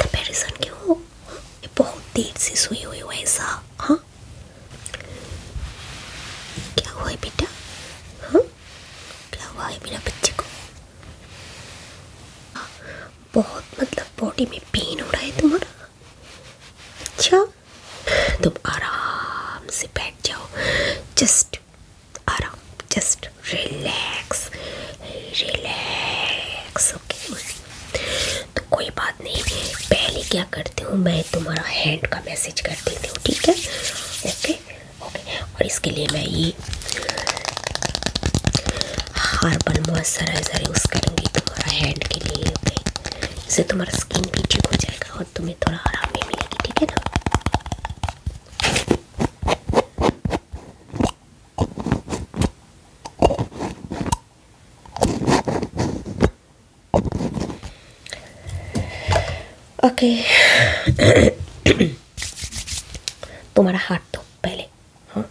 Comparison के हो ये बहुत देर से सोई हुई हो ऐसा हाँ क्या हुआ है बेटा हाँ क्या हुआ है मेरा बच्चे को हाँ, बहुत मतलब बॉडी में पेन हो रहा है तुम्हारा अच्छा तुम आराम से बैठ जाओ जस्ट आराम जस्ट रिलैक्स रिलैक्स ओके तो कोई बात नहीं पहले क्या करती हूँ मैं तुम्हारा हैंड का मैसेज कर देती हूँ ठीक है ओके ओके और इसके लिए मैं ये हार्बल मॉइस्चराइज़र यूज़ करूँगी तुम्हारा हैंड के लिए ओके इससे तुम्हारा स्किन भी ठीक हो जाएगा और तुम्हें थोड़ा आराम भी मिलेगी ठीक है ना ओके तुम्हारा हाथ दो पहले हाँ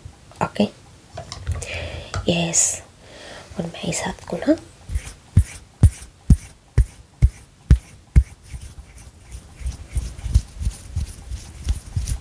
ओके यस और मैं इस हाथ को ना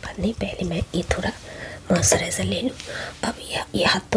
बात नहीं पहले मैं ये थोड़ा मॉइस्चराइज़र ले लूँ अब यह ये हाथ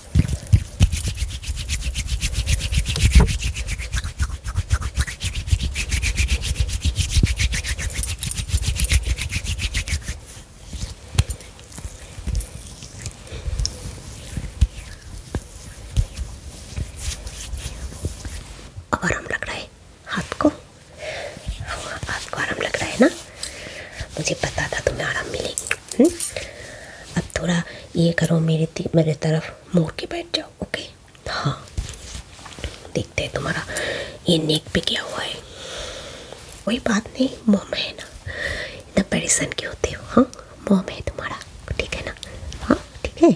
अब आराम लग रहा है हाथ को हाँ आपको आराम लग रहा है ना मुझे पता था तुम्हें आराम मिलेगी हम्म? अब थोड़ा ये करो मेरे मेरे तरफ मोर के बैठ जाओ ओके हाँ देखते हैं तुम्हारा ये नेक पे क्या हुआ है कोई बात नहीं मोम है ना इतना परेशान क्यों होते हो हाँ मोम है तुम्हारा ठीक है ना हाँ ठीक है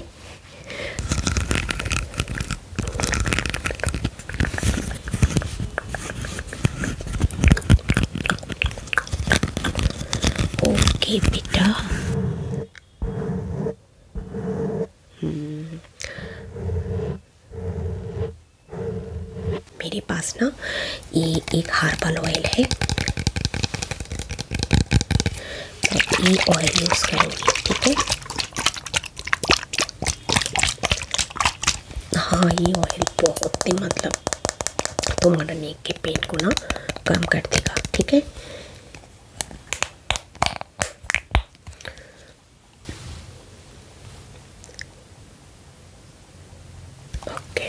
ओके बेटा हम्म। मेरे पास ना ये एक हार्बल ऑयल है ऑयल यूज़ करूँगी ठीक है हाँ ये ऑयल बहुत ही मतलब तुम्हारा तो नेक के पेंट को ना कम कर देगा ठीक है ओके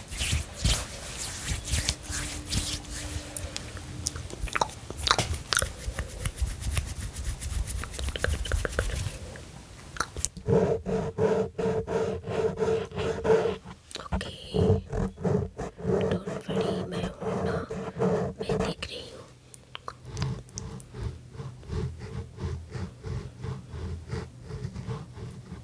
Okay, don't worry, मैं हूँ ना मैं देख रही हूँ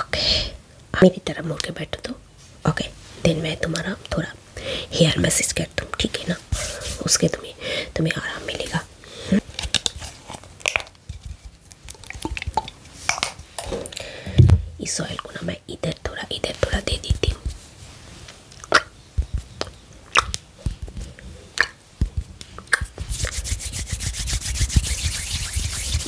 ओके मेरी तरह मुड़ के बैठो तो ओके दिन मैं तुम्हारा थोड़ा हेयर मैसेज कर दूँ ठीक है ना उसके तुम्हें तुम्हें आराम मिलेगा इस ऑयल को ना मैं इधर थोड़ा इधर थोड़ा दे देती हूँ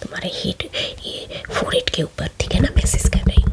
तुम्हारे हेड ये फोर हेड के ऊपर ठीक है ना मैसेज कर रही हूँ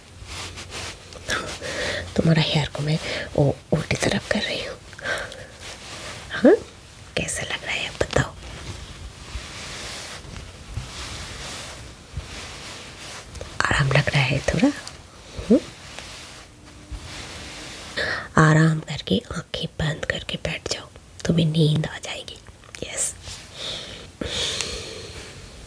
तुम्हारा हेयर को मैं वो उल्टी तरफ कर रही हूँ हाँ कैसा लग रहा है बताओ आराम लग रहा है थोड़ा हम्म? आराम करके आंखें बंद करके बैठ जाओ तुम्हें नींद आ जाएगी यस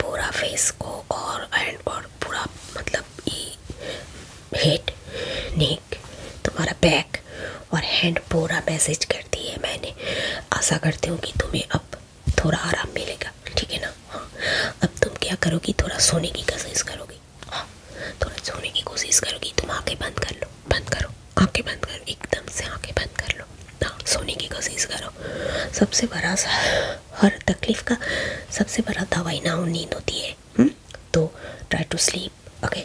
पूरा फेस को और पूरा मतलब हेड नेक तुम्हारा बैक और हैंड पूरा मैसेज करती है मैंने आशा करती हूँ कि तुम्हें अब थोड़ा आराम मिलेगा ठीक है ना हाँ अब तुम क्या करोगी थोड़ा सोने की कोशिश करोगी हाँ थोड़ा सोने की कोशिश करोगी तुम आंखें बंद कर लो बंद करो आँखें बंद करो एकदम से आंखें बंद कर लो हाँ सोने की कोशिश करो सबसे बड़ा हर तकलीफ़ का सबसे बड़ा दवाई ना नींद होती है हम्म? तो try to sleep okay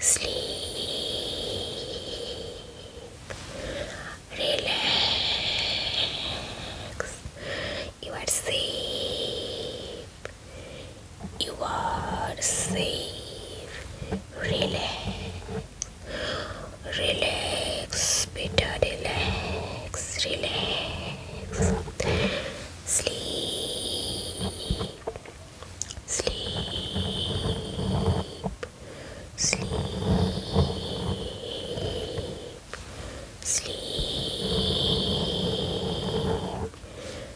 sleep, relax, you are safe, you are safe, relax, relax, Peter, relax, relax, sleep sleep, sleep, sleep,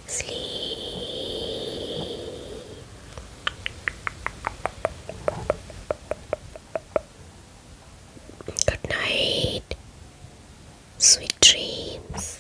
sleep. Good night. Sweet dreams.